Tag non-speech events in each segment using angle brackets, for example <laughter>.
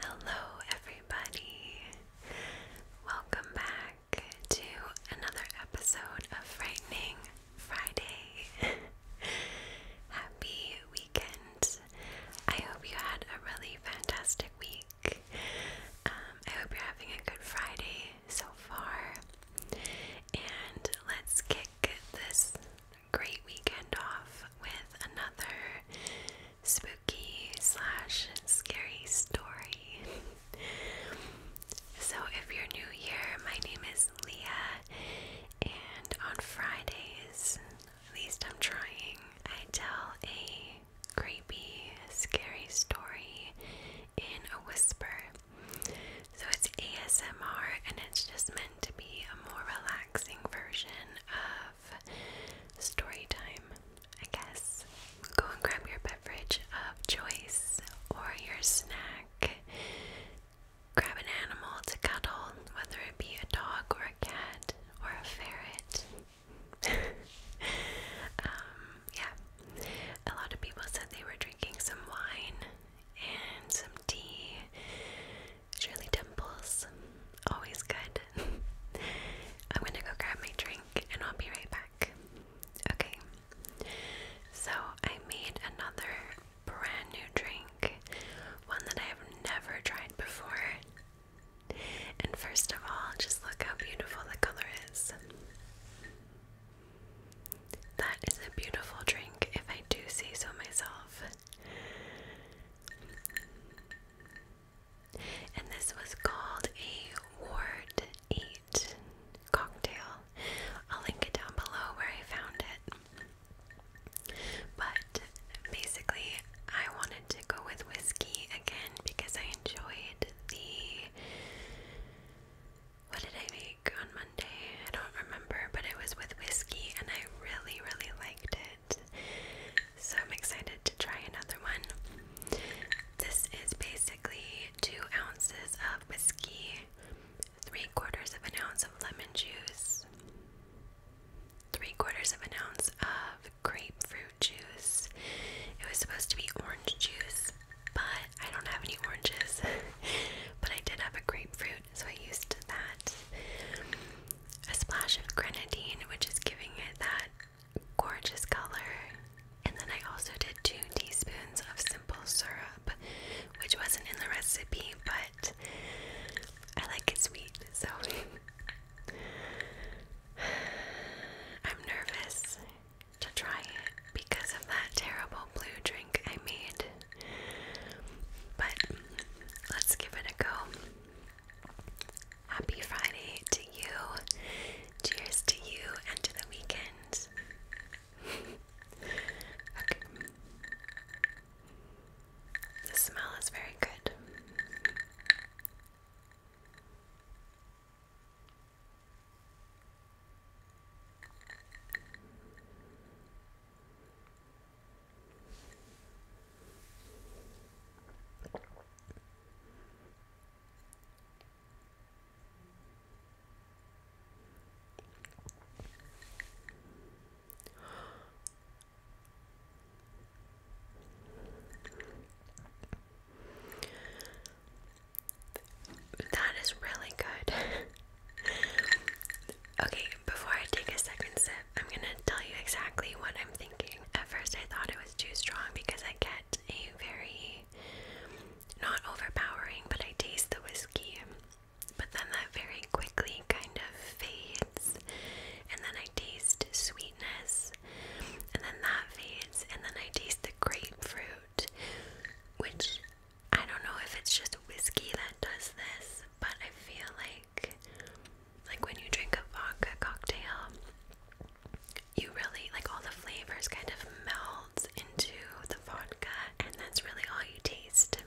Hello, everybody. Welcome back to another episode of Frightening Friday. <laughs> Happy weekend. I hope you had a really fantastic week. Um, I hope you're having a good Friday so far. And let's kick this great weekend off with another spooky slash scary story. <laughs> so, if you're new here, my name is Leah, and on Fridays, at least I'm trying, I tell a creepy, scary story in a whisper. So, it's ASMR and it's just meant to be a more relaxing version story time, I guess. Go and grab your beverage of choice or your snack. Grab an animal to cuddle, whether it be a dog or a cat or a ferret. <laughs> Um, yeah, a lot of people said they were drinking some wine and some tea Shirley Temples, always good. <laughs> I'm gonna go grab my drink and I'll be right back. Okay, so I made another brand new drink, one that I have never tried before. And first of all, just look how beautiful the color is. That is a beautiful drink, if I do say so myself. And this was called a Ward 8 cocktail. I'll link it down below where I found it. But basically, I wanted to go with whiskey again because I enjoyed the. What did I make on Monday? I don't remember, but it was with whiskey and I really, really liked it. So I'm excited to try another one. This is basically two ounces of whiskey, three quarters of an ounce of lemon juice, three quarters of an ounce of grapefruit juice. It was supposed to be orange juice, but I don't have any oranges. <laughs> but I did have a grapefruit, so I used that a splash of grenadine, which is giving it that gorgeous color. And then I also did two teaspoons of simple syrup, which wasn't in the recipe, but I like it sweet, so <sighs> I'm nervous to try it because of that terrible blue drink I made. But let's give it a go. Happy Friday to you. Cheers to you and to the weekend. <laughs> okay. The smell is very good. That is really good. <laughs> okay, before I take a second sip, I'm gonna tell you exactly what I'm thinking. At first, I thought it was too strong because I get a very not overpowering, but I taste the whiskey. But then that very quickly kind of fades, and then I taste sweetness, and then that fades, and then I taste the grapefruit, which I don't know if it's just whiskey that does this, but I feel like like when you drink a vodka cocktail, you really like all the flavors kind of melds into the vodka, and that's really all you taste.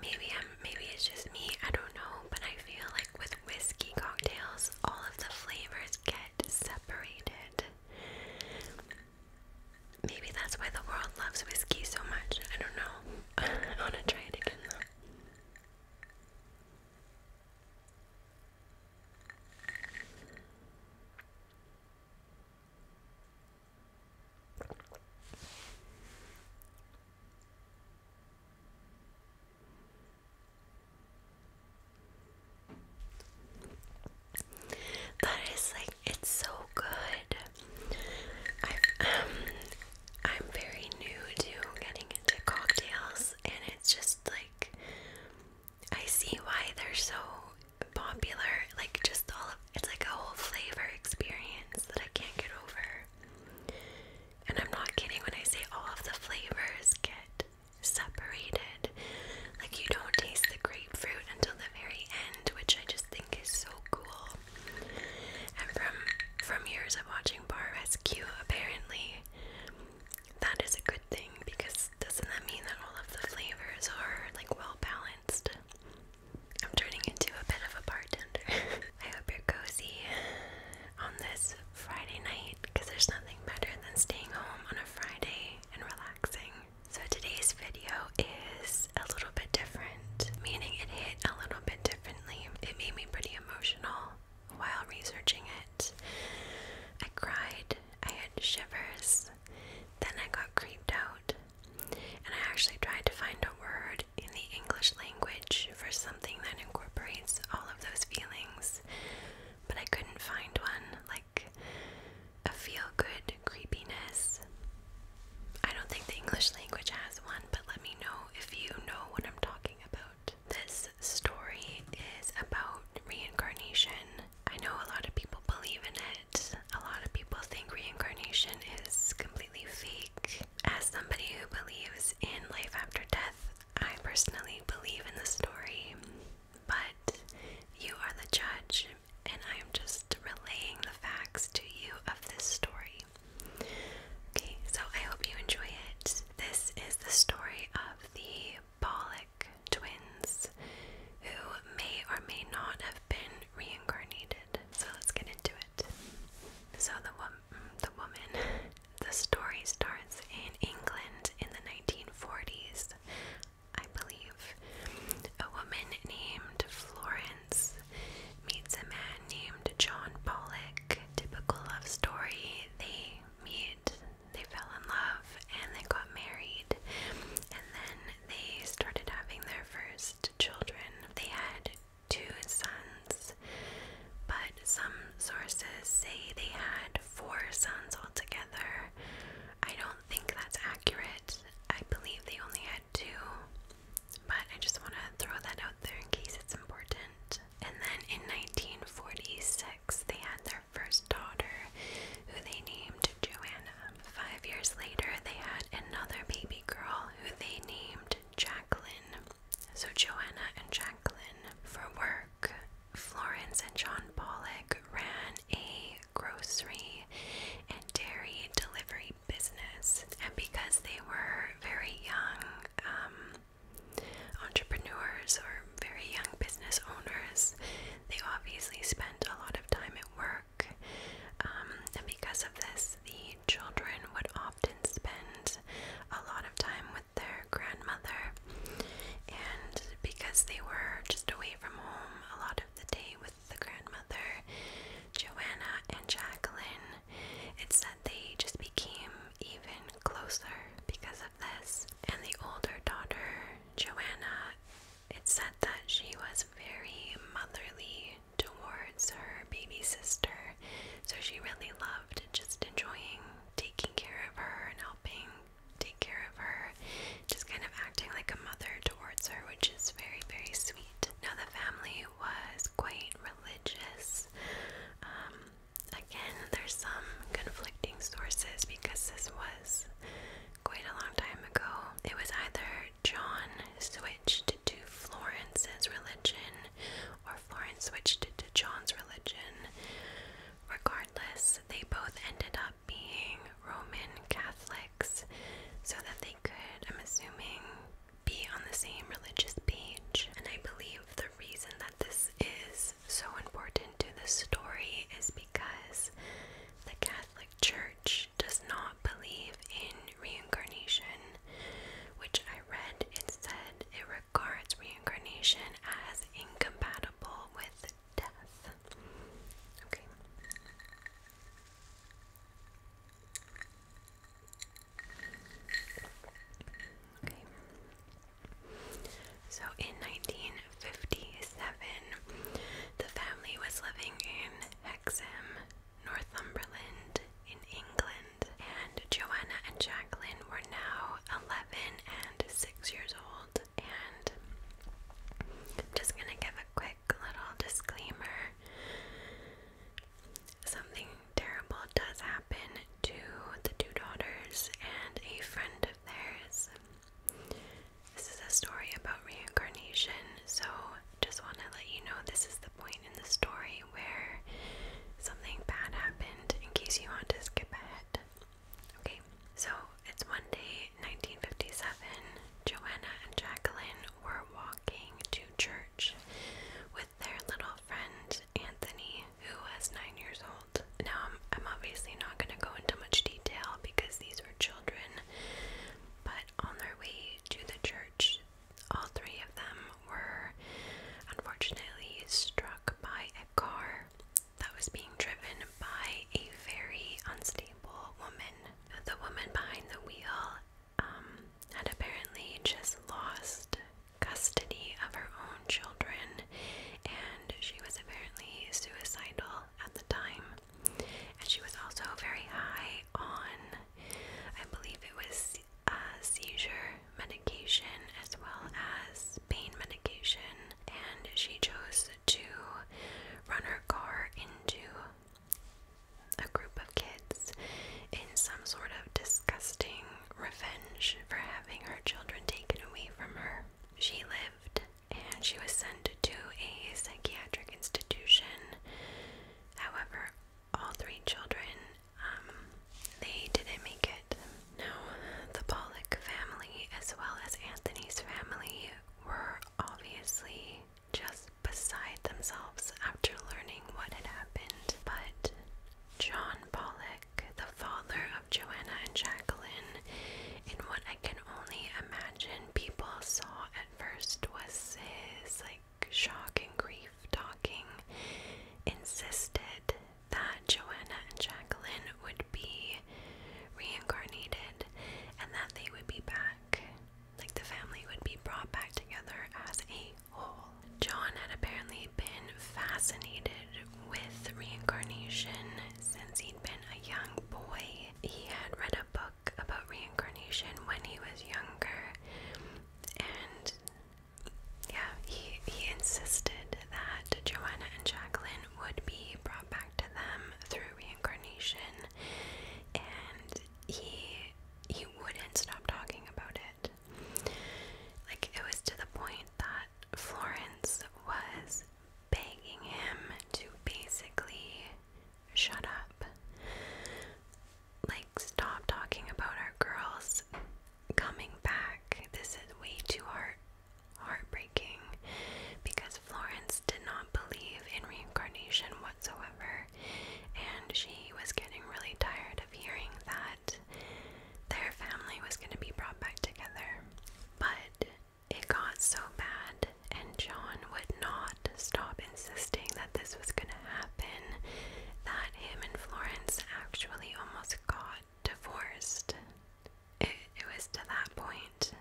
Maybe I'm maybe it's just me, I don't know, but I feel like with whiskey cocktails, all of the flavors get separated. Maybe that's why the world loves whiskey so much. I don't know. <laughs> I want to try it again that is like it's so good. I'm very new to getting into cocktails, and it's just like I see why they're so popular. Like, just all of it's like a whole flavor experience that I can't get over. And I'm not kidding when I say all of the flavors get separated. Like, you don't taste the grapefruit until the very end, which I just think is so cool. And from from years of watching Bar Rescue, apparently that is a good thing because doesn't that mean that all of the flavors are like well balanced? I'm turning into a bit of a bartender. <laughs> I hope you're cozy on this Friday night because there's nothing better than staying home on a Friday and relaxing. So today's video is a little bit different, meaning it hit a little bit differently. It made me pretty emotional while researching it. I cried, I had shivers, then I got creeped out, and I actually tried to find a word in the English language for something that incorporates all of those feelings, but I couldn't find one like a feel good creepiness. I don't think the English language has one, but let me know if you know what I'm talking about. This story is about reincarnation. I know a lot of people believe in it. A lot of people think reincarnation is completely fake. As somebody who believes in life after death, I personally believe in the story, but you are the judge, and I am just relaying the facts to you of this story. Okay, so I hope you enjoy it. This is the story of the Bollock twins, who may or may not have been reincarnated. So let's get into it. So the woman, the woman, the story starts in England in the 1940s, I believe. A woman named Florence meets a man named John Pollock. Typical love story. They meet, they fell in love, and they got married. And then they started having their first children. They had two sons, but some sources say they had four sons altogether. I don't think that's accurate. I believe they only had two, but I just want to throw that out there in case it's important. And then in 1946, they had their first daughter, who they named Joanna. Five years later, they had another baby girl, who they named Jacqueline. So, Joanna and Jacqueline, for work, Florence and John Pollock ran a grocery and dairy delivery business. And because they were very young, um, Entrepreneurs or very young business owners, they obviously spent a lot of time at work. Um, and because of this, the children would often spend a lot of time with their grandmother. And because they were just away from home a lot of the day with the grandmother, Joanna and Jacqueline it's said they just became even closer because of this. And the older daughter, Joanna, It said that she was very motherly towards her baby sister. So she really loved just enjoying taking care of her and helping take care of her, just kind of acting like a mother towards her, which is very, very sweet. Now, the family was quite religious. Um, again, there's some conflicting sources because this was quite a long time ago. It was either John switched to Florence's religion or Florence switched to John's religion. Regardless, they both ended up being Roman Catholics so that they could, I'm assuming, be on the same religious page. And I believe the reason that this is so important to the story is because the Catholic Church does not believe in reincarnation, which I read it said it regards reincarnation as incompatible with death. Okay. So in 1957, the family was living in Hexham, Northumberland, in England, and Joanna and Jacqueline were now 11 and 6 years old. And just going to give a quick little disclaimer something terrible does happen to the two daughters and a friend of theirs. This is a story about reincarnation, so just want to let you know this is the point in the story where something bad happened in case you want to skip ahead. Okay, so it's one day, 1957. Joanna and Jacqueline were walking to church with their little friend Anthony, who was nine years old. Now, I'm, I'm obviously not going to go into much detail because these were children, but on their way to the church, all three of them were unfortunately struck by a car that was being driven by a very unstable woman. The woman behind the wheel um, had apparently just lost custody of her own children, and she was apparently suicidal at the time. And she was also very high on, I believe it was uh, seizure medication as well as pain medication, and she chose to run her car into a group of kids in some sort of disgusting revenge for having her children taken away from her. She lived and she was sent to a psychiatric institution. However, all three children, um, they didn't make it. Now, the Pollock family, as well as Anthony's family, were obviously just beside themselves after learning what had happened, but John Pollock, the father of Joanna and Jacqueline, in what I can only imagine people saw at first was his like shock and grief talking, insisted that Joanna and Jacqueline would be reincarnated and that they would be back. Like the family would be brought back together as a John had apparently been fascinated with reincarnation since he'd been a young boy. He had read a book about reincarnation when he was younger, and yeah, he, he insisted that Joanna and Jacqueline would be brought back to them through reincarnation, and he he wouldn't stop talking about it. Like, it was to the point that Florence was begging him to basically shut up. Like, stop talking about our girls coming back. This is way too heart heartbreaking because Florence did not believe in reincarnation whatsoever, and she was getting really tired of hearing that their family was going to be brought back together. But it got so bad, and John would not stop insisting that this was going to happen, that him and Florence actually almost got divorced. it was to that point.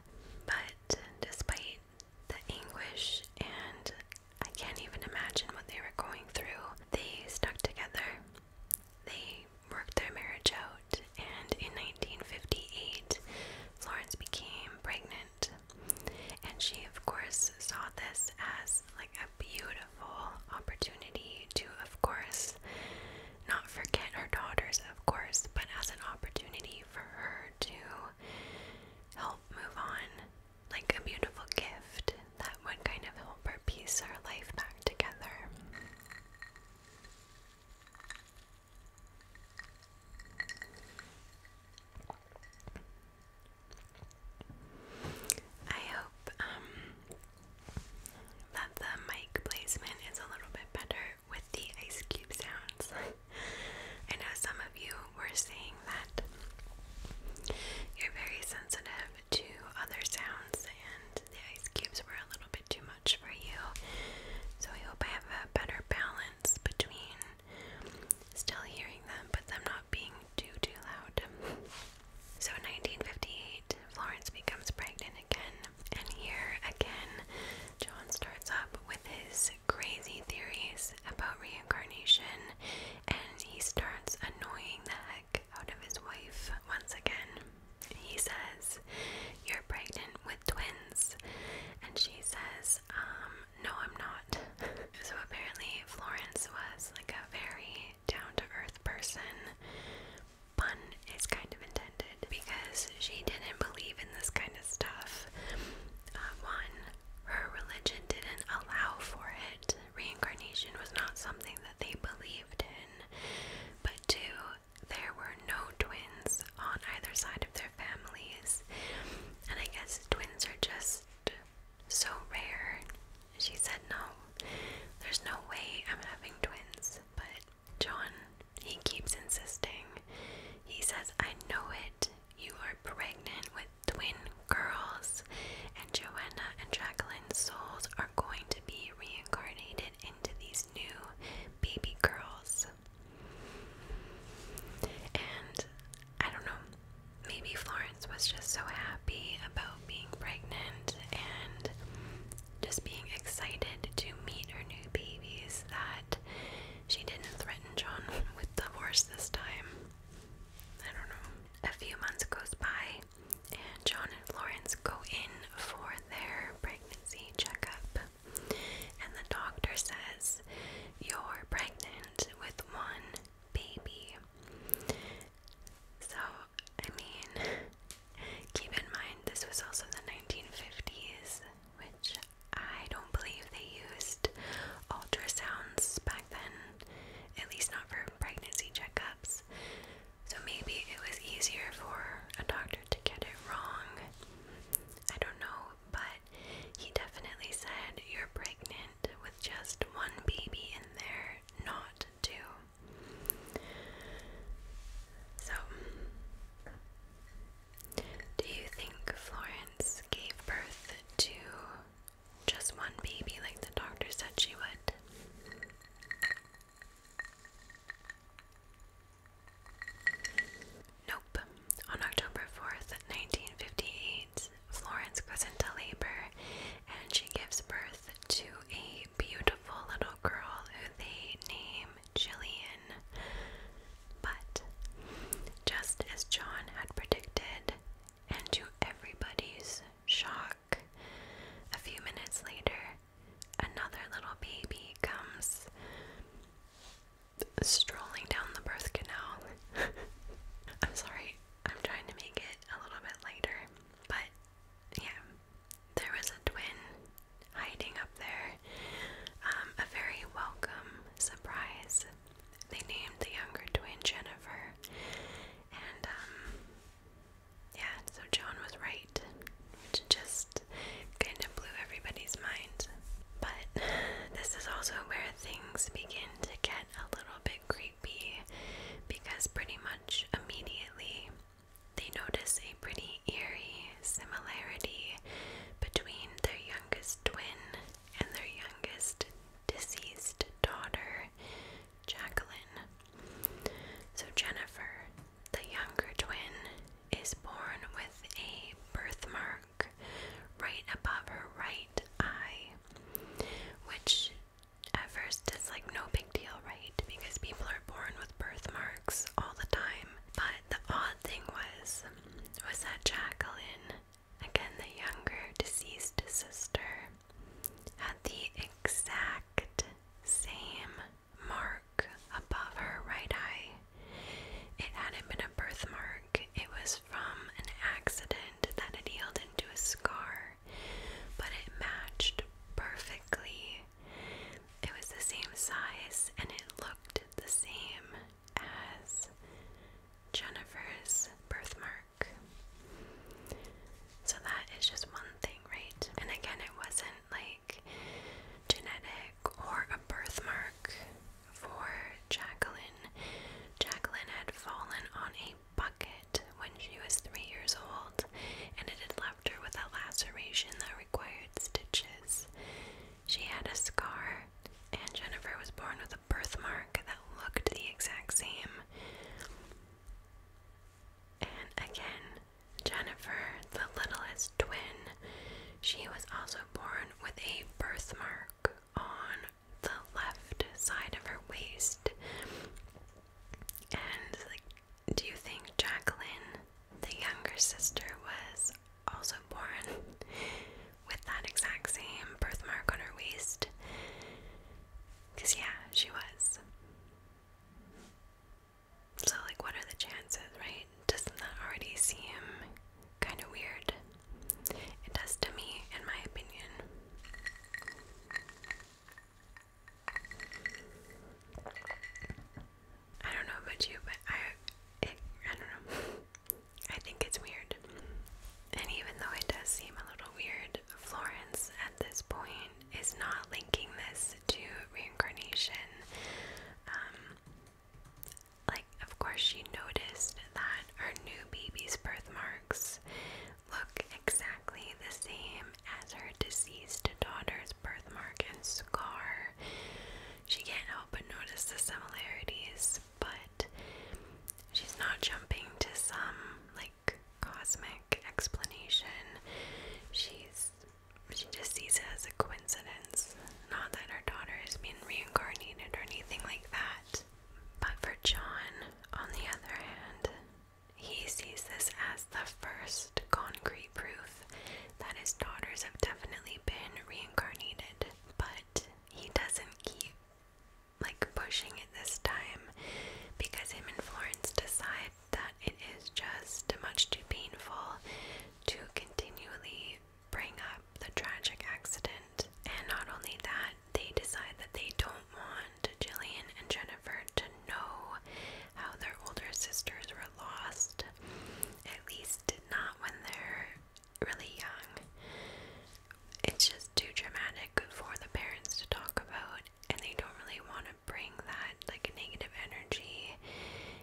But despite the anguish and I can't even imagine what they were going through. They stuck together. They worked their marriage out, and in 1958, Florence became pregnant. And she, of course, saw this as like a beautiful opportunity to, of course, not forget her daughters, of course, but as an opportunity for her to help move on like a beautiful gift that would kind of help her piece her life back together. I hope um, that the mic placement is a little bit better with the ice cube sounds. <laughs> I know some of you were saying that you're very sensitive two other sounds, and the ice cubes were a little bit too much for you. So I hope I have a better balance between still hearing them, but them not being too too loud. So in 1958, Florence becomes pregnant again, and here again, John starts up with his crazy theories about reincarnation, and he starts annoying the Affleck out of his wife once again. He says, You're pregnant with twins. And she says, Um, no, I'm not. <laughs> so apparently, Florence was like a very down to earth person. Pun is kind of intended because she didn't believe in this kind of stuff. Uh, one, her religion didn't allow for it reincarnation was not something that they believed in, but two, there were no twins on either side of their families. And I guess twins are just so rare. She said, No, there's no way I'm having twins. But John, he keeps insisting. He says, I know it. You are pregnant with twin girls, and Joanna and Jacqueline's souls are going to be reincarnated into these new baby girls. And I don't know, maybe Florence was just so happy about being pregnant and just being excited to meet her new babies that she didn't threaten John <laughs> with divorce this time. I don't know. A few months goes by, and John and Florence go in for their pregnancy checkup. And the doctor says, You're pregnant with one baby. So, I mean, keep in mind this was also the 1950s, which I don't believe they used ultrasounds back then, at least not for pregnancy checkups. So maybe it was easier for a doctor to get it wrong. I don't know, but he definitely said you're pregnant with just one baby in there, not two. So, do you think Florence gave birth to just one baby, like the doctor said she would. Nope. On October 4th, 1958, Florence goes into labor and she gives birth to a beautiful little girl who they name Jillian. But just as John had predicted, and to everybody's shock, a few minutes later, another little baby comes strolling down the birth canal. <laughs> I'm sorry, I'm trying to make it a little bit later, but yeah, there was a twin hiding up there. Um, a very welcome surprise. They named the younger twin Jennifer, and um yeah, so Joan was right, which just kind of blew everybody's mind. But this is also where things begin to get a little bit creepy because pretty much immediately they notice a pretty eerie similarity between their youngest twin and their youngest deceased daughter, Jacqueline. So, Jennifer, the younger twin, is born with a birthmark right above her right eye, which at first is like no big deal, right? Because people are born with birthmarks all the time. But the odd thing was, was that Jacqueline, again the younger deceased sister, had the exact same mark above her right eye. It hadn't been a birthmark, it was from an accident that had healed into a scar, but it matched perfectly. It was the same size and it looked the same as Jennifer's birthmark. So that is just one thing, right? And again, it wasn't like genetic or a birthmark for Jacqueline. Jacqueline had fallen on a bucket when she was three years old, and it had left her with a laceration that required stitches. She had a scar, and Jennifer was born with a birthmark that looked the exact same. And again, Jennifer, the littlest twin, she was also born with a birthmark on the left side of her waist. And do you think Jacqueline, the younger sister, was also born with that exact same birthmark on her waist? Because, yeah, she was. So, like, what are the chances, right? Doesn't that already seem kind of weird? It does to me, in my opinion. I don't know about you, but I, it, I don't know. I think it's weird. And even though it does seem a little weird, Florence at this point is not linking this to reincarnation. Um, like, of course, she noticed that her new baby's birthmarks look exactly the same as her deceased daughter's birthmark and scar. She can't help but notice the similarities, but she's not jumping to some like cosmic explanation. She's she just sees it as a coincidence. Not that her daughter is being reincarnated or anything like that. But for John, on the other hand, he sees this as the first concrete proof that his daughters have definitely been reincarnated. But he doesn't keep like pushing it this time because him and Florence decide that it is just much too painful to continually bring up the tragic accident. And not only that, they decide that they don't want Jillian and Jennifer to know how their older sisters were lost, at least not when they're really young it's just too dramatic for the parents to talk about, and they don't really want to bring that like negative energy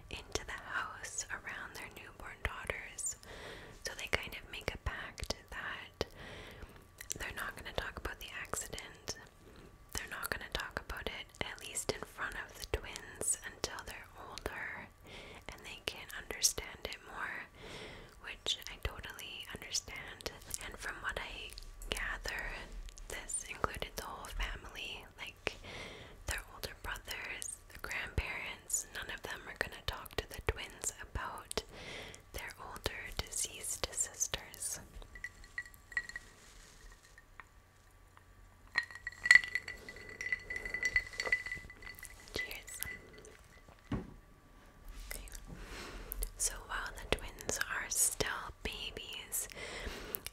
into the house around their newborn daughters. So they kind of make a pact that they're not going to talk about the accident. They're not going to talk about it, at least in front of the twins, until they're older and they can understand it more, I totally understand. And from what I gathered, this included the whole family like their older brothers, the grandparents. None of them are going to talk to the twins about their older deceased sisters. Cheers. So while the twins are still babies,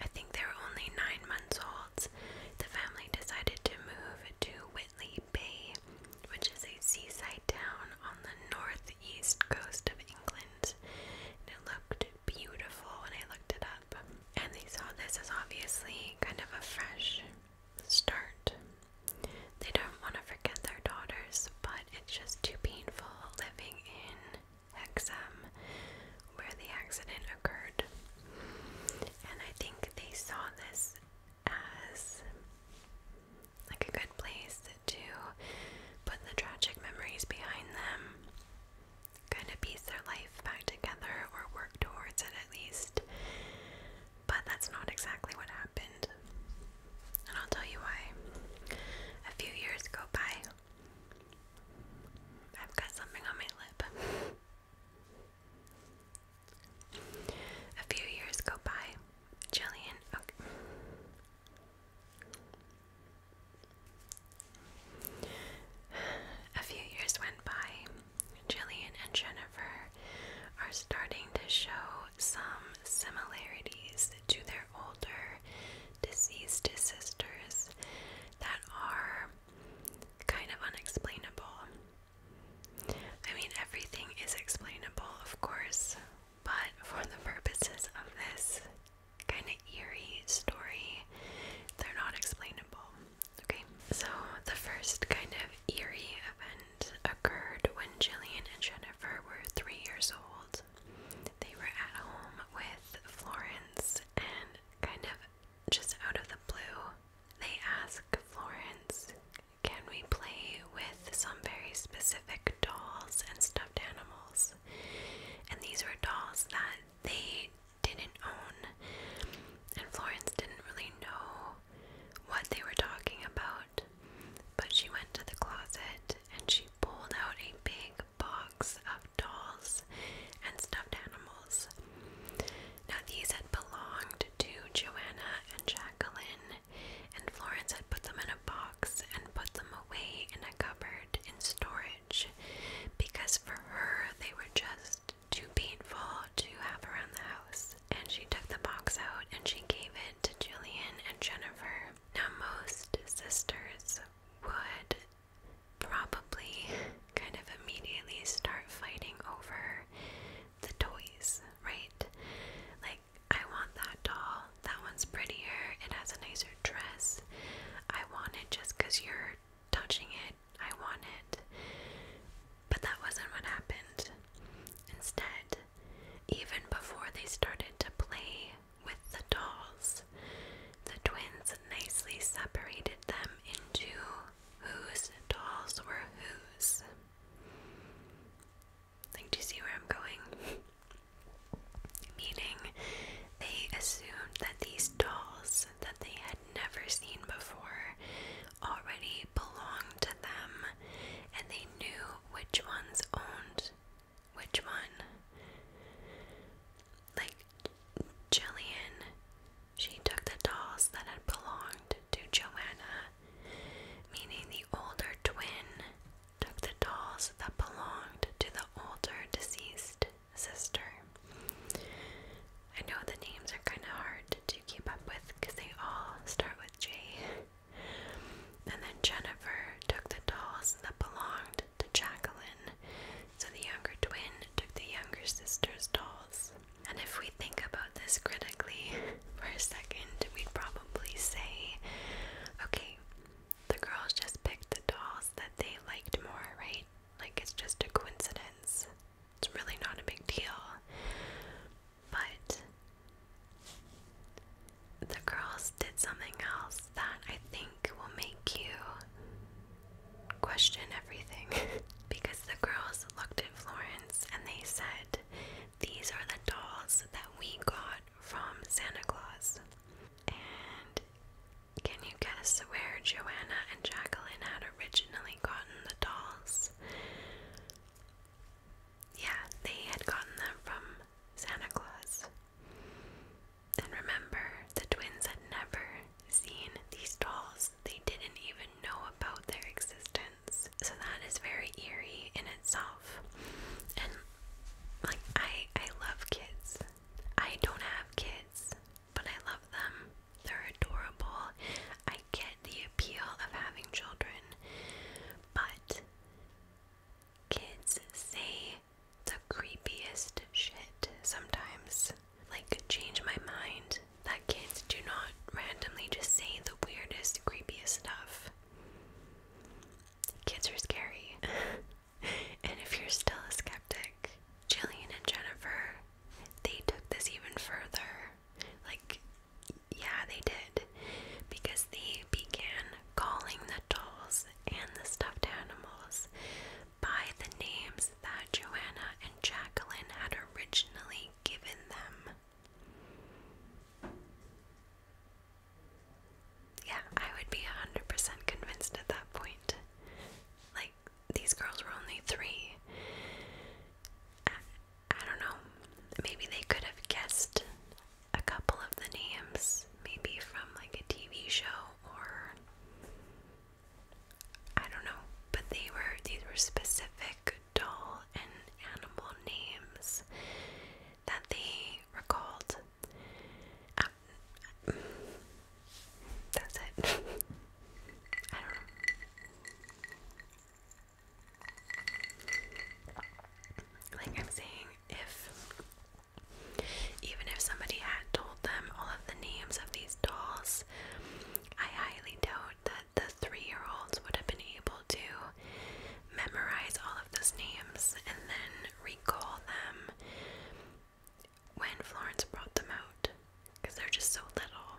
I think they're only nine months old, the family decided to move to Whitley Bay, which is a seaside town on the northeast coast of England. And it looked beautiful when I looked it up. And they saw this as obviously kind of a fresh start they don't want to forget their daughters, but it's just too painful living in Hexham where the accident occurred. And I think they saw this as like a good place to put the tragic memories behind them, kind of piece their life back together or work towards it at least. But that's not exactly what and I'll tell you why. A few years go by. I've got something on my lip. A few years go by. Jillian. A few years went by. Jillian and Jennifer are starting to show some similarities to their their older deceased sisters that are kind of unexplainable. I mean, everything is explainable, of course, but for the purposes of this kind of eerie story, they're not explainable. Okay, so the first kind of eerie event occurred when Jillian and Jennifer were three years old. They were at home with Florence, and kind of just out of the blue, they asked Florence, Can we play with some very specific dolls and stuffed animals? And these were dolls that they didn't own, and Florence didn't really know what they were talking about. But she went to the closet and she pulled out a big box of dolls and stuffed animals. Now, these had belonged to Joanna and Jacqueline, and Florence had put them in a box and put them away in a cupboard in storage because for her they were just too painful to have around the house. And she took the box out and she gave it to Julian and Jennifer. Now, most sisters would probably kind of immediately start fighting over the toys, right? Like, I want that doll, that one's prettier, it has a nicer dress, I want it just because you're touching it, I want it. But that wasn't what happened. Instead, even before they started to play with the dolls, the twins nicely separated them into whose dolls were whose. Like, do you see where I'm going? <laughs> Meaning, they assumed that these dolls that they had never seen before already belonged to them, and they knew which ones owned which one? Like, Jillian, she took the dolls that had belonged to Joanna, meaning the older twin took the dolls that belonged to the older deceased sister. I know the names are kind of hard to keep up with because they all start with J. And then Jennifer took the dolls that belonged to Jacqueline, so the younger twin took the younger sister's dolls. And if we think about this critically <laughs> for a second, we'd probably say, okay, the girls just picked the dolls that they liked more, right? Like it's just a coincidence. It's really not a big deal. But the girls did something else that I think will make you question everything <laughs> because the girls looked at Florence and they said, These are the dolls that we got from Santa Claus. And can you guess where Joanna and Jacqueline had originally gotten the dolls? Yeah, they had gotten them from Santa Claus. And remember, the twins had never seen these dolls. They didn't even know about their existence. So that is very eerie in itself. And like I I love kids. I don't have kids, but I love them. They're adorable. I get the appeal of having children. But Kids say the creepiest shit sometimes. Like, change my mind that kids do not randomly just say the weirdest, creepiest stuff. Kids are scary. <laughs> and if you're still a skeptic, Jillian and Jennifer, they took this even further. Like, yeah, they did. Because they began calling the dolls and the stuffed animals by the names that Joanna and Jacqueline had originally given them. Yeah, I would be 100% convinced at that point. Like, these girls were only three. I don't know. Maybe they could have guessed a couple of the names, maybe from like a TV show or I don't know, but they were these were specific doll and animal names that they recalled. Um, that's it. <laughs> I don't know. Like I'm saying, if even if somebody had told them all of the names of these dolls, I highly doubt that the three year olds would have been able to memorize all of those names and then recall them when Florence brought them out because they're just so little.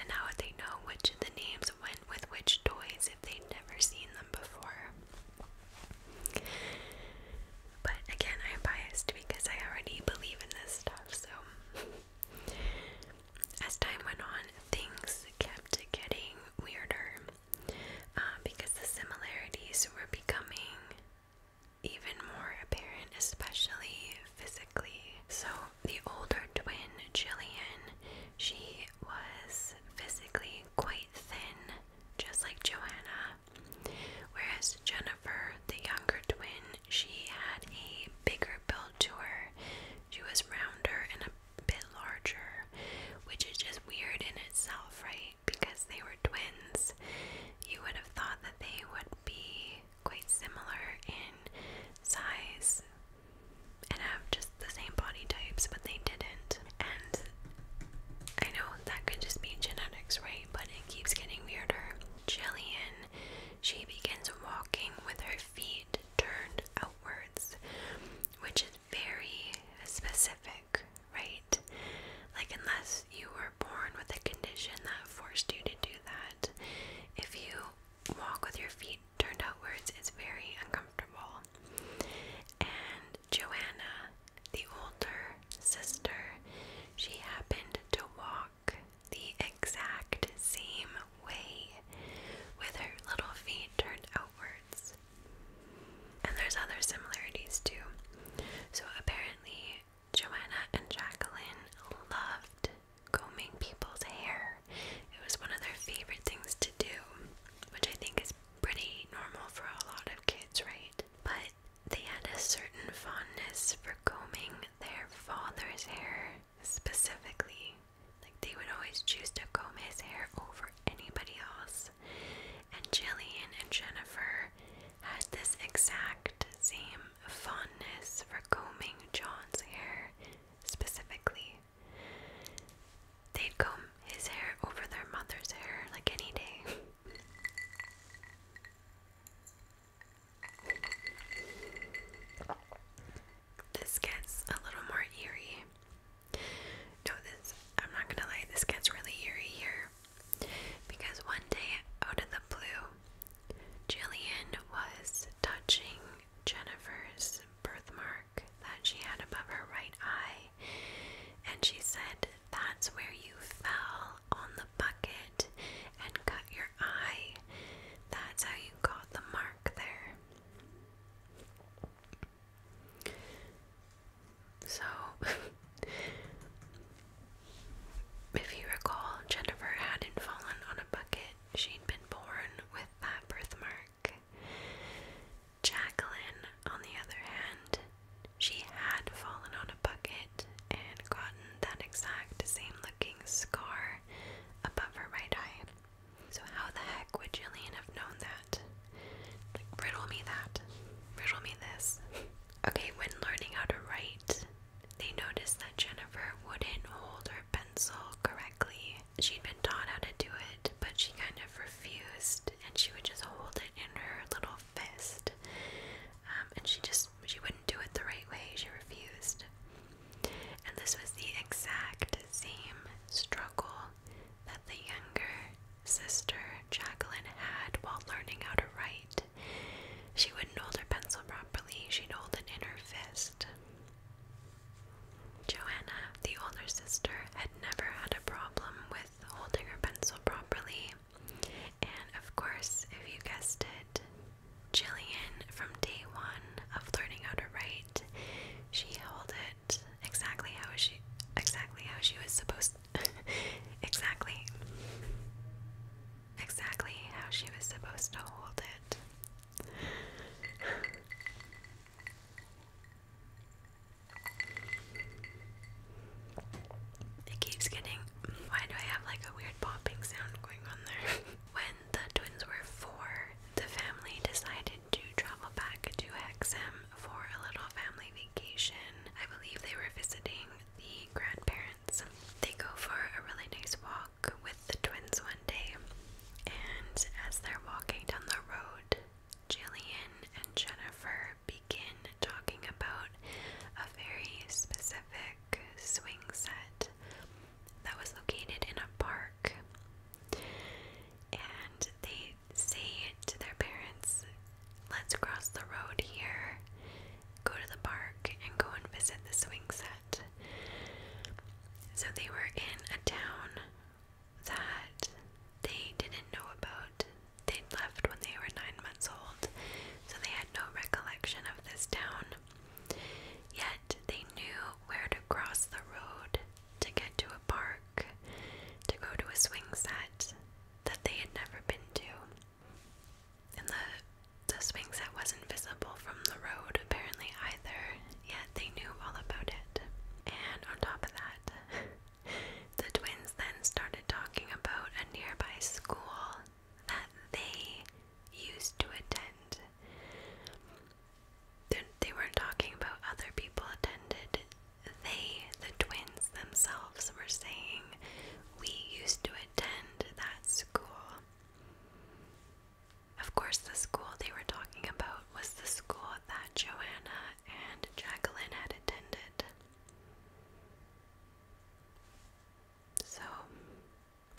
And now they know which the names went with which toys if they'd never seen them before. But again, I'm biased because I already believe in this stuff, so. <laughs> As time went on, things kept getting weirder um, because the similarities were becoming even more apparent, especially physically. So, the older twin, Jillian, she was physically quite thin, just like Joanna, whereas Jennifer, the younger twin, she had a bigger build to her. She was rounder and a bit larger, which is just weird in itself, right? Because they were twins, you would have thought that they would be quite similar in size, and have just the same body types, but they didn't. And I know that could just be genetics, right? But it keeps getting weirder. Jillian, she begins walking with her feet turned outwards, which is very specific, right? Like, unless you were born with a condition that forced you to do that, if you walk with your feet turned outwards, it's very uncomfortable. And Joanna, the older sister, she happened to walk the exact same way with her little feet turned outwards. And there's other similarities too. So apparently, Joanna and Jacqueline loved combing people's hair. It was one of their favorite things to do, which I think is pretty normal for a lot of kids, right? But they had a certain fondness for combing their father's hair specifically. Like they would always choose to comb his hair over anybody else. And Jillian and Jennifer had this exact same fondness for combing John's hair specifically. They'd comb his hair over their mother's hair like any day. This gets a little more eerie. No, oh, this, I'm not gonna lie, this gets really eerie here. Because one day, out of the blue, Jillian was touching Jennifer's birthmark that she had above her right eye, and she said, That's where you fell on the bucket and cut your eye. That's how you got the mark there. So, <laughs> if you recall, Jennifer hadn't fallen on a bucket, she'd been born with that birthmark. Jacqueline, on the other hand, she had fallen on a bucket and gotten that exact same looking scar above her right eye. So, how the heck would Jillian have known that? Like, riddle me that. Riddle me this. Okay, when learning how to write, they noticed that Jennifer wouldn't hold her pencil correctly she'd been taught how to do it, but she kind of refused, and she would just hold it in her little fist. Um, and she just she wouldn't do it the right way. She refused. And this was the exact same struggle that the younger sister Jacqueline had while learning how to write. She wouldn't hold her pencil properly. She'd hold it in her fist. Joanna, the older sister, had never had a problem with holding her pencil properly. And of course, if you guessed it, Jillian, from day one of learning how to write, she held it exactly how she exactly how she was supposed <laughs> exactly exactly how she was supposed to hold it. It keeps getting. Why do I have like a weird popping sound going on there? <laughs> when the twins were four, the family decided to travel back to Hexham for a little family vacation. I believe they were visiting the grandparents. They go for a really nice walk with the twins one day, and as they're walking down the road, Jillian and Jennifer begin talking about a very specific swing set that was located in a park. And they say to their parents, Let's cross the road here, go to the park, and go and visit the swing set. So they were in a town that they didn't know about. They'd left when they were nine months old, so they had no recollection of this town. Yet they knew where to cross the road to get to a park, to go to a swing set that they had never been to. And the, the swing set wasn't visible from the road, apparently, either, yet they knew all about it. And on top of that, <laughs> The twins then started talking about a nearby school that they used to attend. They weren't talking about other people attended. They, the twins themselves, were saying, We used to attend that school. Of course, the school they were talking about was the school that Joanna and Jacqueline had attended. So,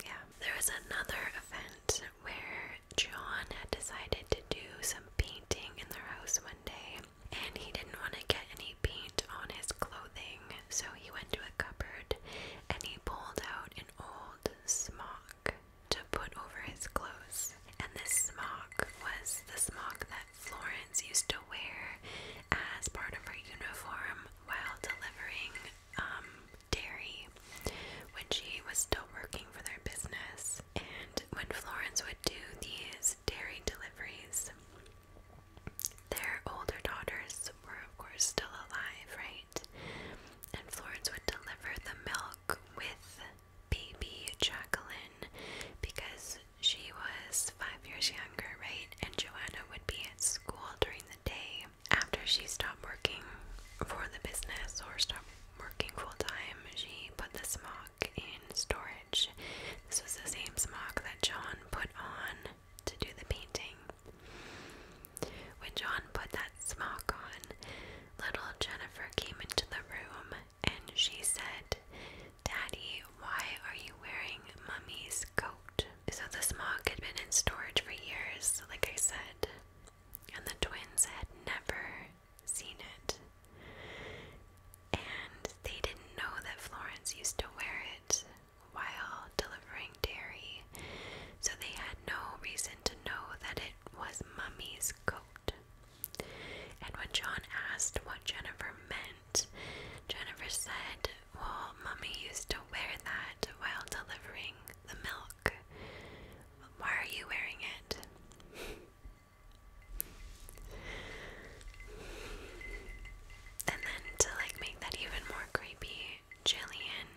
yeah. There was another event where John had decided to do some painting in their house one day, and he didn't want to get any paint on his clothing, so he went to a cupboard and he pulled out an old smock to put over his clothes. And this smock was the smock that Florence used to wear as part of her uniform while delivering um, dairy when she was still working for their business. And when Florence would do these dairy deliveries, their older daughters were, of course, still alive, right? And Florence would deliver the milk with baby Jacqueline because she was five years younger, right? And Joanna would be at school during the day after she stopped working for the business or stopped working full time. She put the smock in storage. This was the same smock that John put on to do the painting. When John put that smock on, little Jennifer came into the room and she said, Daddy, why are you wearing Mummy's coat? So the smock had been in storage for years, like I said, and the twins had never seen it. And they didn't know that Florence used to wear it while delivering dairy, so they had no reason to know that it was Mummy's coat. And when John asked what Jennifer meant, Jennifer said, Well, Mummy used to wear that while delivering the milk. Why are you wearing it? and then to like make that even more creepy, Jillian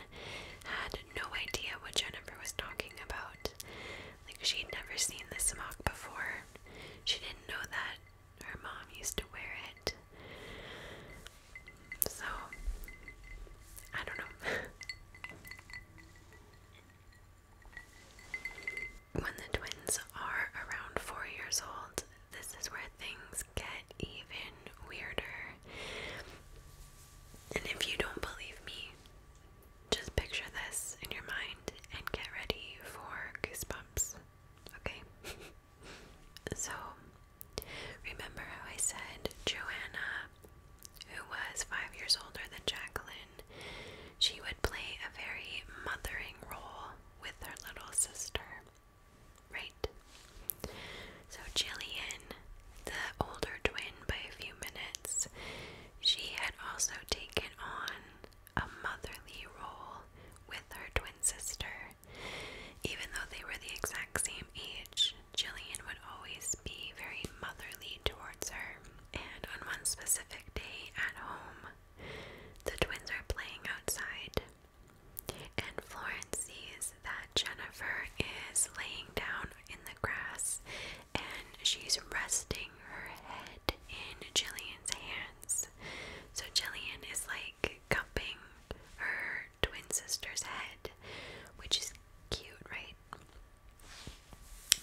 had no idea what Jennifer was talking about. Like she had never seen this smock before. She didn't know that her mom used to wear it. So, I don't know. <laughs> when the twins are around four years old, this is where things get even weirder. And if you don't believe me, just picture this in your mind and get ready for goosebumps, okay? <laughs> so, remember how I said Joanna, who was five years older than Jacqueline, she would play a very mothering role with her little sister, right? So, Jillian, the older twin by a few minutes, she had also taken on a motherly role with her twin sister. Even though they were the exact same age, Jillian would always be very motherly towards her. And on one specific day at home, the twins are playing outside, and Florence sees that Jennifer is laying down in the grass and she's resting her head in Jillian's hands. So Jillian is like cupping her twin sister's head, which is cute, right?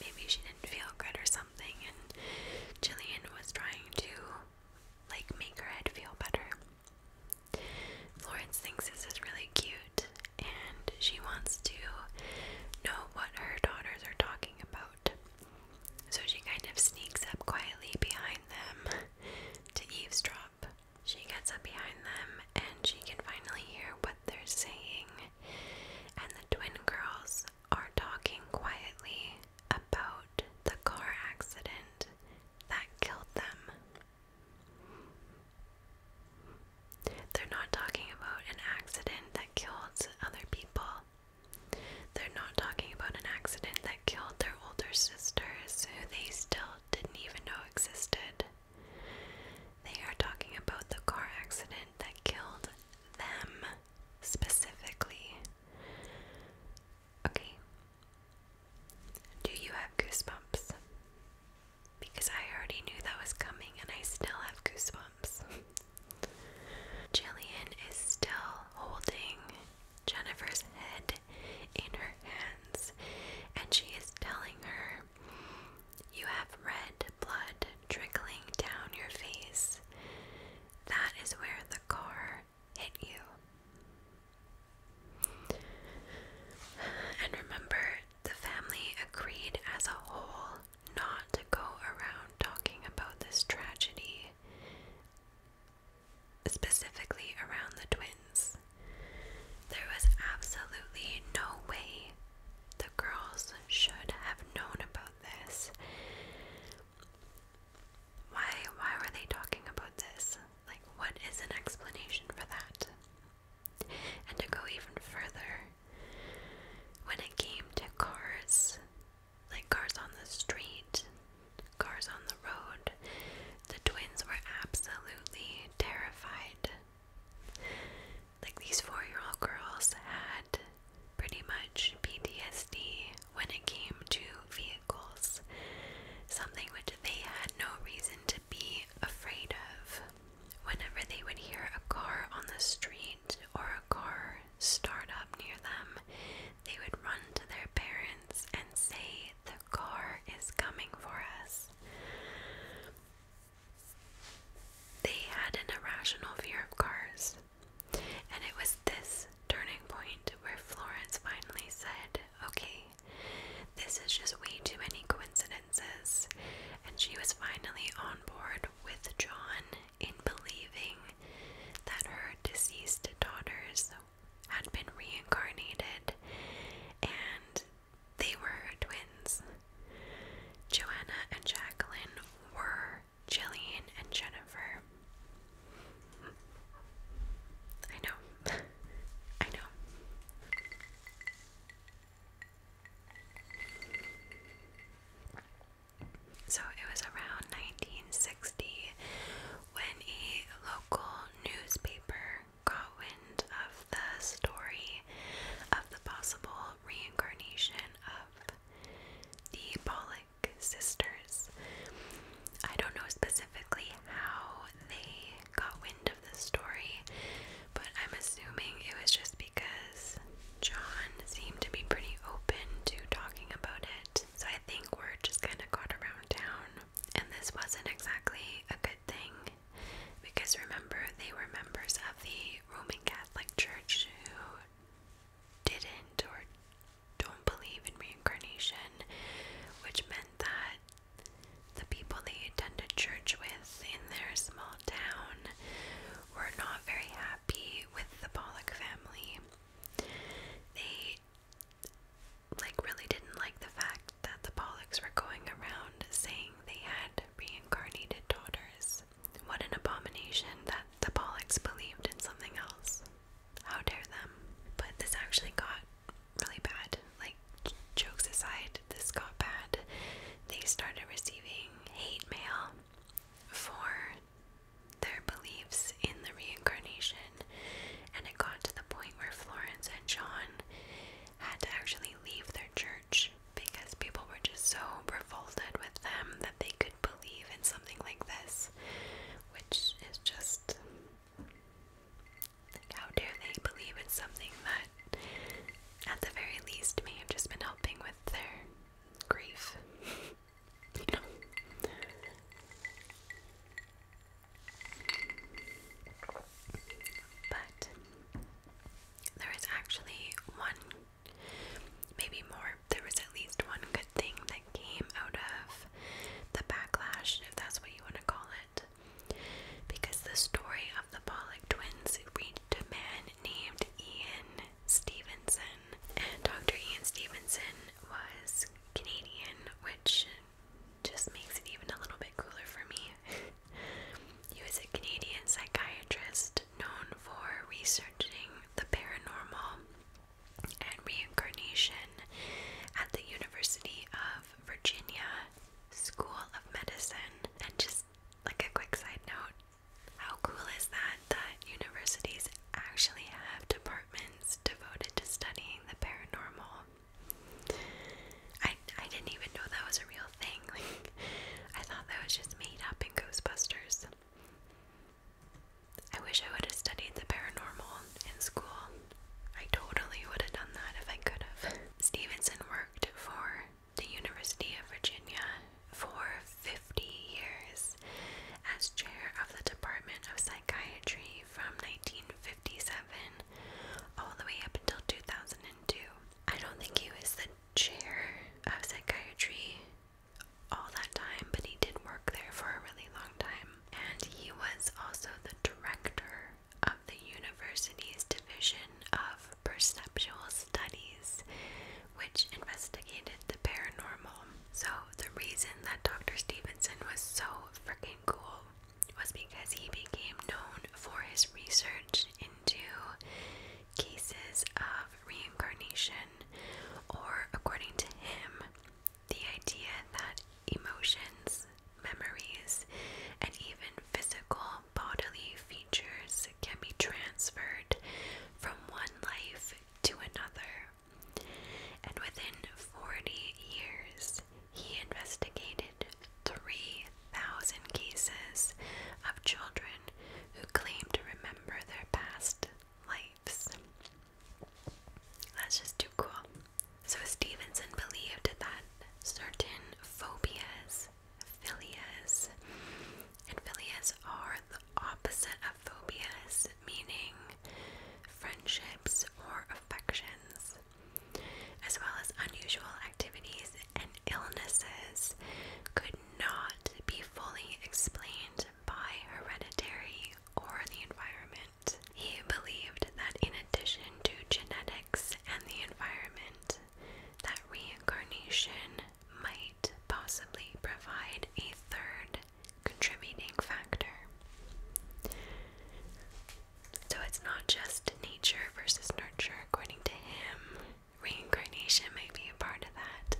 Maybe she didn't feel good or something, and Jillian was trying to like make her head feel better. Florence thinks this is really cute and she wants to know what her daughters are talking about. So she kind of sneaks up quietly behind them to eavesdrop. She gets up behind them and she can finally hear what they're saying. And the twin girls are talking quietly about the car accident that killed them. They're not talking about an accident that killed other people. They're not talking about an accident that killed their older sisters, who they still didn't even know existed. They are talking about the car accident that killed them specifically. Okay. Do you have goosebumps? Because I already knew that was coming and I still have goosebumps. <laughs> Jillian is still holding Jennifer's head in her hands, and she is telling her, You have red blood trickling down your face. That is where the car hit you. And remember, the family agreed as a whole not to go around talking about this tragedy, specifically around the twins. There was absolutely no way the girls should have known about this. Why why were they talking about this? Like what is an explanation for that? And to go even further, when it came to cars, like cars on the street, cars on the road, the twins were absolutely terrified. Like these four year old girls had pretty much PTSD when it came to vehicles, something which they had no reason to be afraid of. Whenever they would hear a car on the street, or a car start up near them, they would run to their parents and say, The car is coming for us. They had an irrational fear of cars, and it was this turning point where Florence finally said, Okay, this is just way too many coincidences, and she was finally on board with John in believing that her deceased daughters had been reincarnated and they were twins. Joanna and Jacqueline were Jillian and Jennifer. I know. <laughs> I know. So it was around 1960 when a local newspaper got wind of the story of the possible reincarnation of the Bolick sisters. I don't know specifically how they got wind of the story, but I'm assuming it was just because John seemed to be pretty open to talking about it. So I think word just kind of got around town. And this wasn't exactly a good thing because remember, they were members of the Roman Catholic Church who didn't or don't believe in reincarnation, which meant that the people they attended church with in their small down, were not very happy with the Pollock family. They like really didn't like the fact that the Pollocks were going around saying they had reincarnated daughters. What an abomination that the Pollocks believed in something else. How dare them. But this actually got really bad. Like, jokes aside, this got bad. They started receiving hate mail for their beliefs in the reincarnation, and it got to the point where Florence and John had to actually leave their church because people were just so revolted with them that they could believe in something like this, which is just how dare they believe in something that, at the very least, may have just been helping with their grief. you know. But actually one, maybe more, there was at least one good thing that came out of the backlash, if that's what you want to call it. Because the story of the Pollock twins reached a man named Ian Stevenson. And Dr. Ian Stevenson was Canadian, which just makes it even a little bit cooler for me. he was a Canadian psychiatrist known for researching the paranormal and reincarnation at the University of Virginia School of Medicine. And just like a quick side note, how cool is that that universities actually have departments devoted to studying the paranormal? I I didn't even know that was a real thing. <laughs> Like I thought that was just made up in Ghostbusters. I wish I would have studied the paranormal in school. I totally would have done that if I could have. <laughs> Stevenson worked for the University of Virginia for 50 years as chair of the Department of Psychiatry from 1957 all the way up until 2002. I don't think he was the chair of psychiatry all that time, but he did work there for a really long time. And he was also the director of the university's division of perceptual studies which investigated the paranormal. So, the reason that Dr. Stevenson was so freaking cool was because he became known for his research into cases of reincarnation, or according to him, the idea that emotions, memories, and even physical um, bodily features can be transferred from one life to another. And within 40 years, he investigated 3,000 cases of children who claimed to remember their past lives. That's just too cool. So, Stevenson believed that certain phobias philias. And philias are the opposite of phobias, meaning friendships or affections, as well as unusual activities and illnesses, could not be fully explained by hereditary or the environment. He believed that in addition to genetics and the environment, that reincarnation might possibly provide a third contributing factor. So it's not just nature versus nurture, according to him. Reincarnation might be a part of that.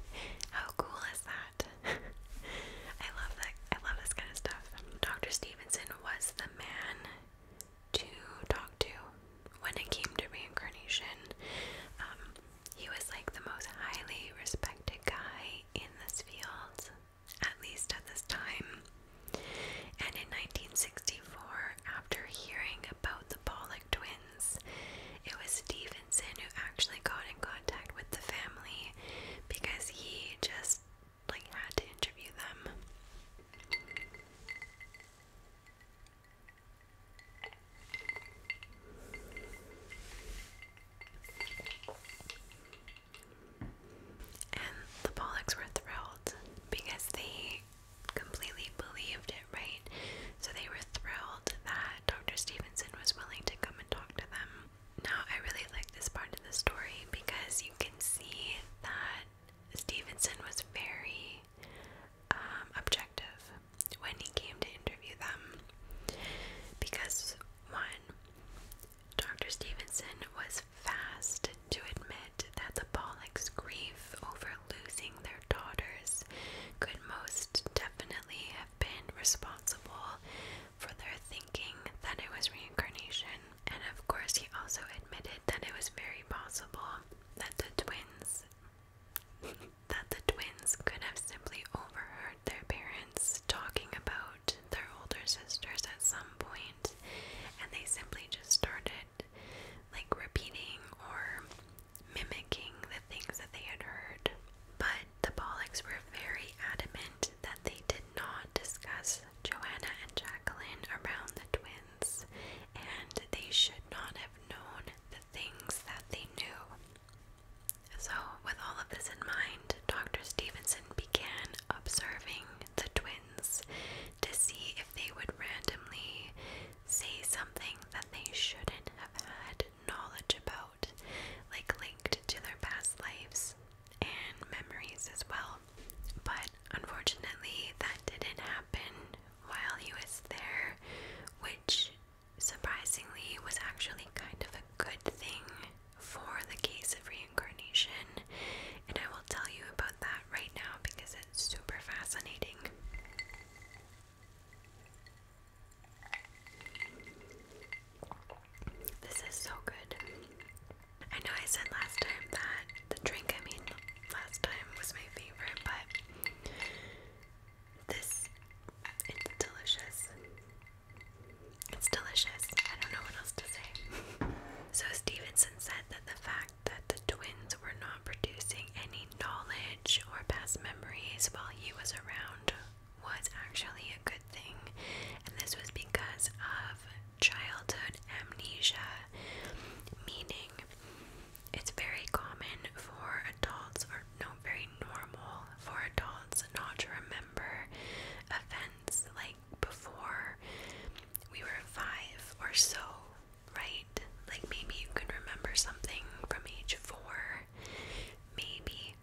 How cool is that? <laughs> I love that. I love this kind of stuff. Dr. Stevenson was the man to talk to when it came to reincarnation, um, he was like the most highly respected guy in this field, at least at this time. And in 1964, after hearing about the Pollock twins, it was Stevenson who actually got in contact with the family because he just like had to interview them. And the Pollocks were thrilled because they completely believed it, right? So they were thrilled that Dr. Stevenson was willing to come and talk to them. Now, I really like this part of the story because you can see that Stevenson was very um, objective when he came to interview them because one, Dr. Stevenson was fast to admit that the Bollocks' grief over losing their daughters could most definitely have been responsible for their thinking that it was reincarnation. And of course, he also admitted that it was very possible that the twins that the twins could have simply overheard their parents talking about their older sisters at some point and they simply just started like repeating or mimicking the things that they had heard. But the Pollocks were very adamant that they did not discuss Joanna and Jacqueline around the twins and they should not have known things that they knew. So, with all of this in mind, Dr. Stevenson began observing the twins to see if they would randomly say something that they shouldn't have had knowledge about, like linked to their past lives and memories as well. But unfortunately, that didn't happen while he was there, which surprisingly was actually kind of a good thing for the case of reincarnation. And I will tell you about that right now because it's super fascinating. This is so good. I know I said last time that the drink, I mean, last time was my favorite, but this it's delicious. It's delicious. I don't know what else to say. So Stevenson said that the fact that the twins were not producing any knowledge or past memories while he was around was actually a good thing. And this was because of childhood amnesia, meaning it's very common for adults, or no, very normal for adults not to remember events like before we were five or so, right? Like maybe you can remember something from age four, maybe,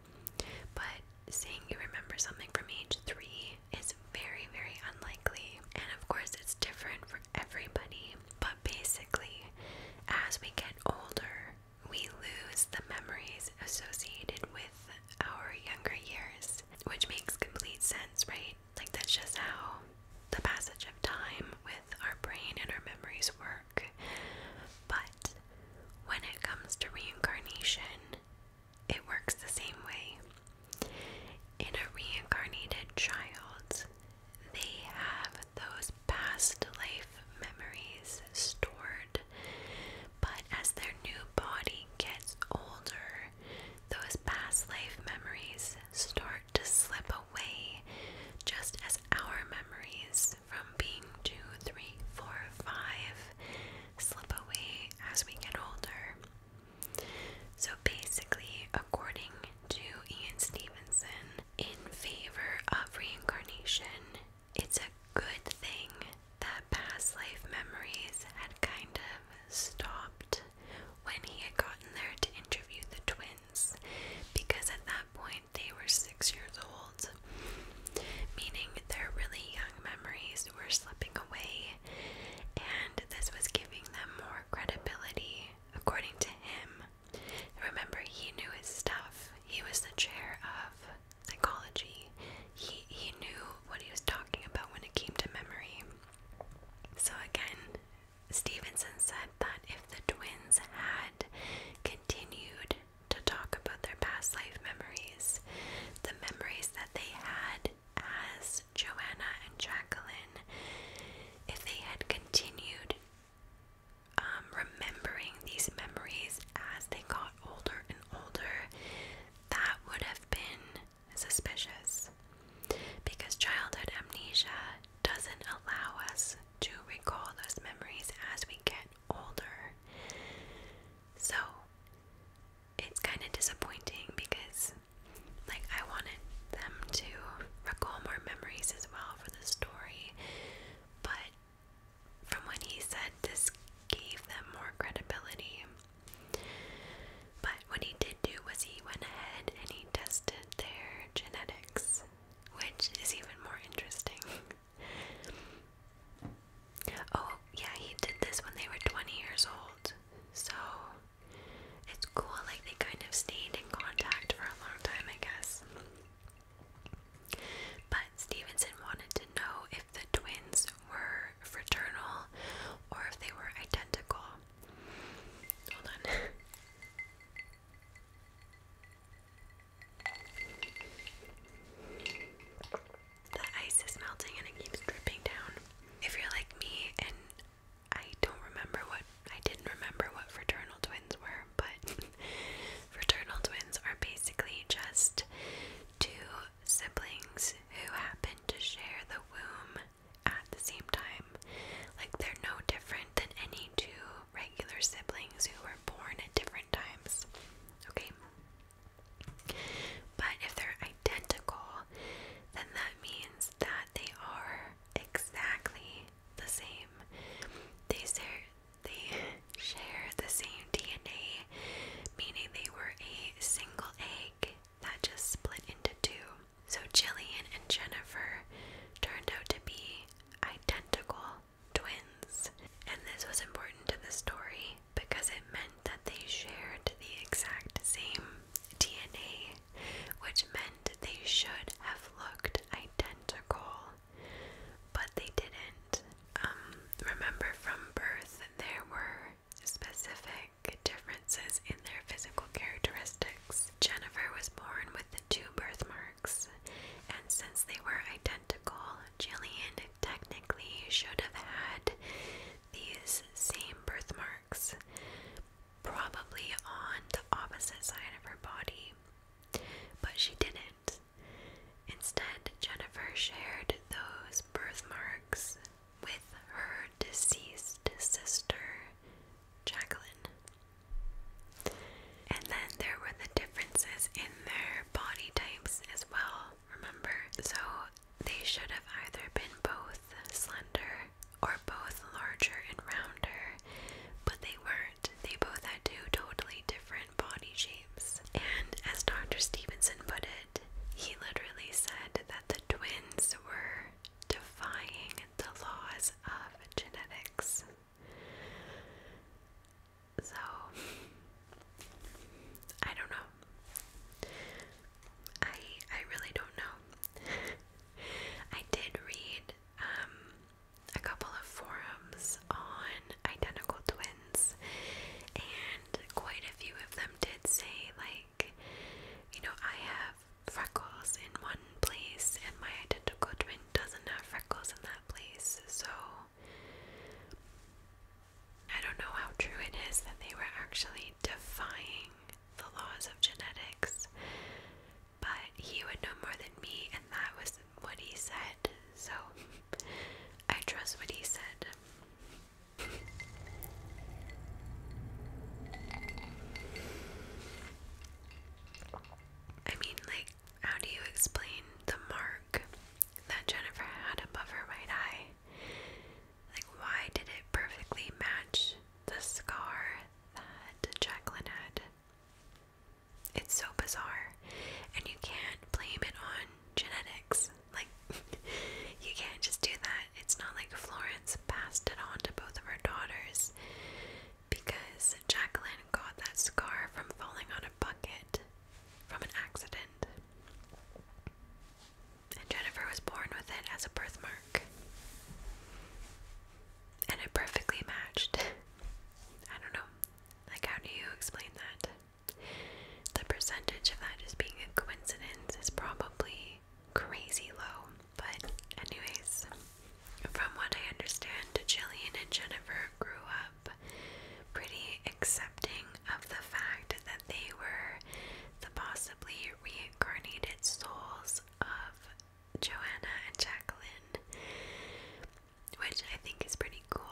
but saying you remember something from age three is very, very unlikely. And of course, it's different everybody, but basically, as we get older, we lose the memories associated with our younger years, which makes complete sense, right? Like, that's just how the passage of time with our brain and our memories work. But when it comes to reincarnation, it works the same way. In a reincarnated child, they have those past life memories stored, but as their new body gets older, those past life memories start to slip away, just as our memories from being two, three, four, five slip away as we get older. So basically, according to Ian Stevenson in favor of reincarnation. It's a good thing that past life memories had kind of stopped when he had gotten there to interview the twins, because at that point they were six years old, meaning their really young memories were slipping away, and this was giving them more credibility, according to him, Remember, he knew his stuff. He was the chair of psychology. He he knew what he was talking about when it came to memory. So again, Stevenson said that if the twins had continued to talk about their past life memories, the memories that they had as Joanna and Jacqueline, if they had continued um, remembering these memories as they got older and older, that would have been suspicious because childhood amnesia doesn't allow us to recall those memories as we get older. So it's kind of disappointing because, like, I wanted them to recall more memories as well the story, but from what he said, this gave them more credibility. But what he did do was he went ahead and he tested their genetics, which is even more interesting. <laughs> oh, yeah, he did this when they were 20 years old. So it's cool, like they kind of stayed in contact for a long time, I guess. But Stevenson wanted to know if the twins were fraternal or if they were identical. Hold on. <laughs> The ice is melting and it keeps dripping down. If you're like me and I don't remember what I didn't remember what fraternal twins were, but <laughs> fraternal twins are basically just two siblings who happen to share the womb at the same time. Like they're no different than any two regular siblings who were born at different times. Okay? But if they're identical, then that means that they are exactly the same. They share they <laughs> share the same DNA, meaning they were a single egg that just split into two. So Jillian and Jennifer turned out to be identical twins. And this was important to the story because it meant that they shared the exact same DNA which meant they should have looked identical, but they didn't. Um, remember, from birth, there were specific differences in their physical characteristics. Jennifer was born with the two birthmarks, and since they were identical, Jillian technically should have had these same birthmarks, probably on the opposite side of her body. But she didn't. Instead, Jennifer shared those birthmarks with her deceased sister, Jacqueline. And then there were the differences in their body types as well, remember? So they should have either been both slender or both larger and rounder, but they weren't. They both had two totally different body shapes. And as Dr. Stevenson put it, he literally said that the twins were defying the laws of genetics. So, I don't know. I I really don't know. <laughs> I did read um, a couple of forums on identical twins, and quite a few of them did say, like, you know, I have freckles in one place, and my identical twin doesn't have freckles in that place. So, I don't know how true it is that they were actually defying the laws of genetics but he would know more than me, and that was what he said, so I trust what he said. I mean, like, how do you explain the mark that Jennifer had above her right eye? Like, why did it perfectly match the scar that Jacqueline had? It's so bizarre. And you can't blame it on genetics. Like, <laughs> you can't just do that. It's not like Florence passed it on to both of her daughters because Jacqueline got that scar from falling on a bucket from an accident. And Jennifer was born with it as a birthmark and it perfectly matched. <laughs> I don't know. Like, how do you explain that? The percentage of that just being a coincidence is probably crazy low. But, anyways, from what I understand, Jillian and Jennifer grew up pretty accepting of the fact that they were the possibly reincarnated souls of Joanna and Jacqueline, which I think is pretty cool.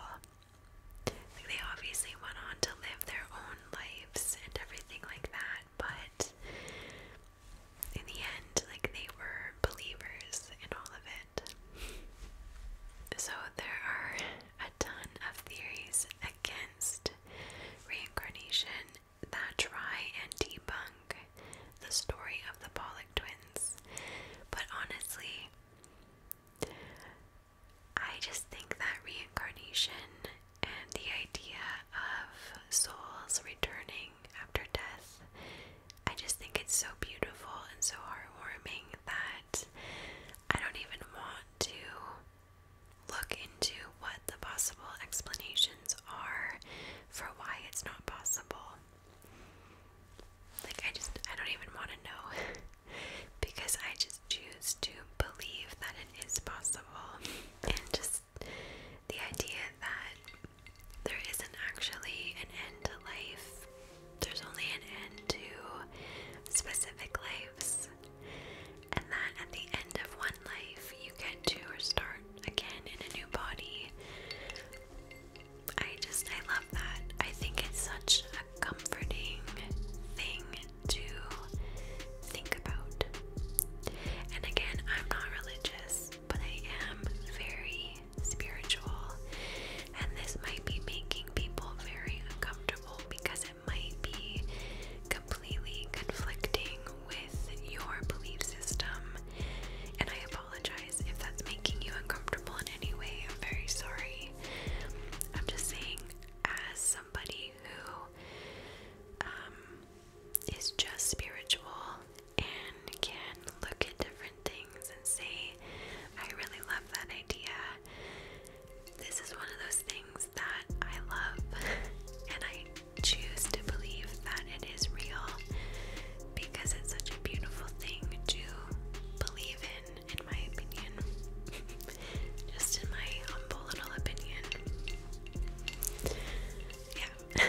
they obviously went on to live their own lives and everything like that, but in the end, like they were believers in all of it. So there are a ton of theories against reincarnation that try and debunk the story of the Pollock twins. But honestly, I just think that reincarnation and the idea of souls returning after death, I just think it's so beautiful and so heartwarming that I don't even want to look into what the possible explanations are for why it's not possible. Like, I just, I don't even want to know <laughs> because I just choose to believe that it is possible. And just the idea that there isn't actually an end to life, there's only an end to specific lives. And that at the end of one life, you get to start again in a new body I just, I love that. I think it's such a comforting thing to think about. And again, I'm not religious, but I am very spiritual. And this might be making people very uncomfortable because it might be completely conflicting with your belief system. And I apologize apologize if that's making you uncomfortable in any way. I'm very sorry. I'm just saying, as somebody who um, just spiritual and can look at different things and say, I really love that idea. This is one of those things that I love <laughs> and I choose to believe that it is real because it's such a beautiful thing to believe in, in my opinion. <laughs> Just in my humble little opinion. Yeah.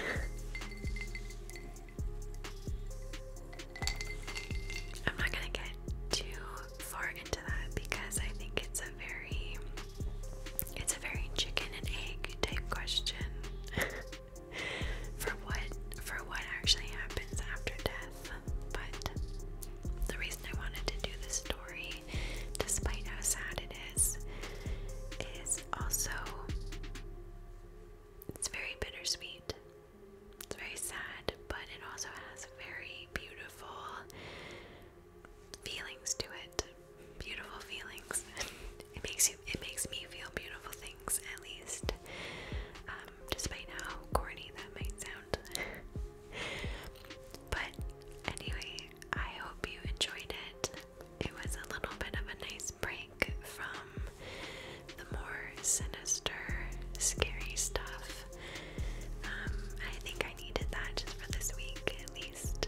<laughs> I'm not gonna get too far into that because I think it's a very it's a very chicken and egg type question. <laughs> <laughs> for what for what actually happens after death. But the reason I wanted to do this story, despite how sad it is, is also it's very bittersweet. It's very sad, but it also has very beautiful feelings to it. Beautiful feelings. <laughs> it makes you it, makes me feel beautiful things at least, um, despite how corny that might sound. <laughs> but anyway, I hope you enjoyed it. It was a little bit of a nice break from the more sinister, scary stuff. Um, I think I needed that just for this week at least.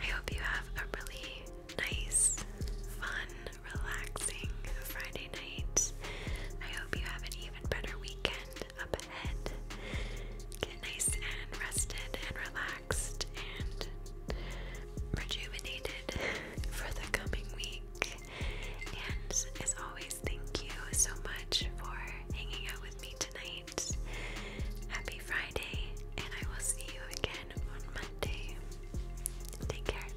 I hope you have a really nice, fun, relaxing Friday night. I hope you have an even better weekend up ahead. Get nice and rested and relaxed and rejuvenated for the coming week. And as always, thank you so much for hanging out with me tonight. Happy Friday, and I will see you again again on Take care.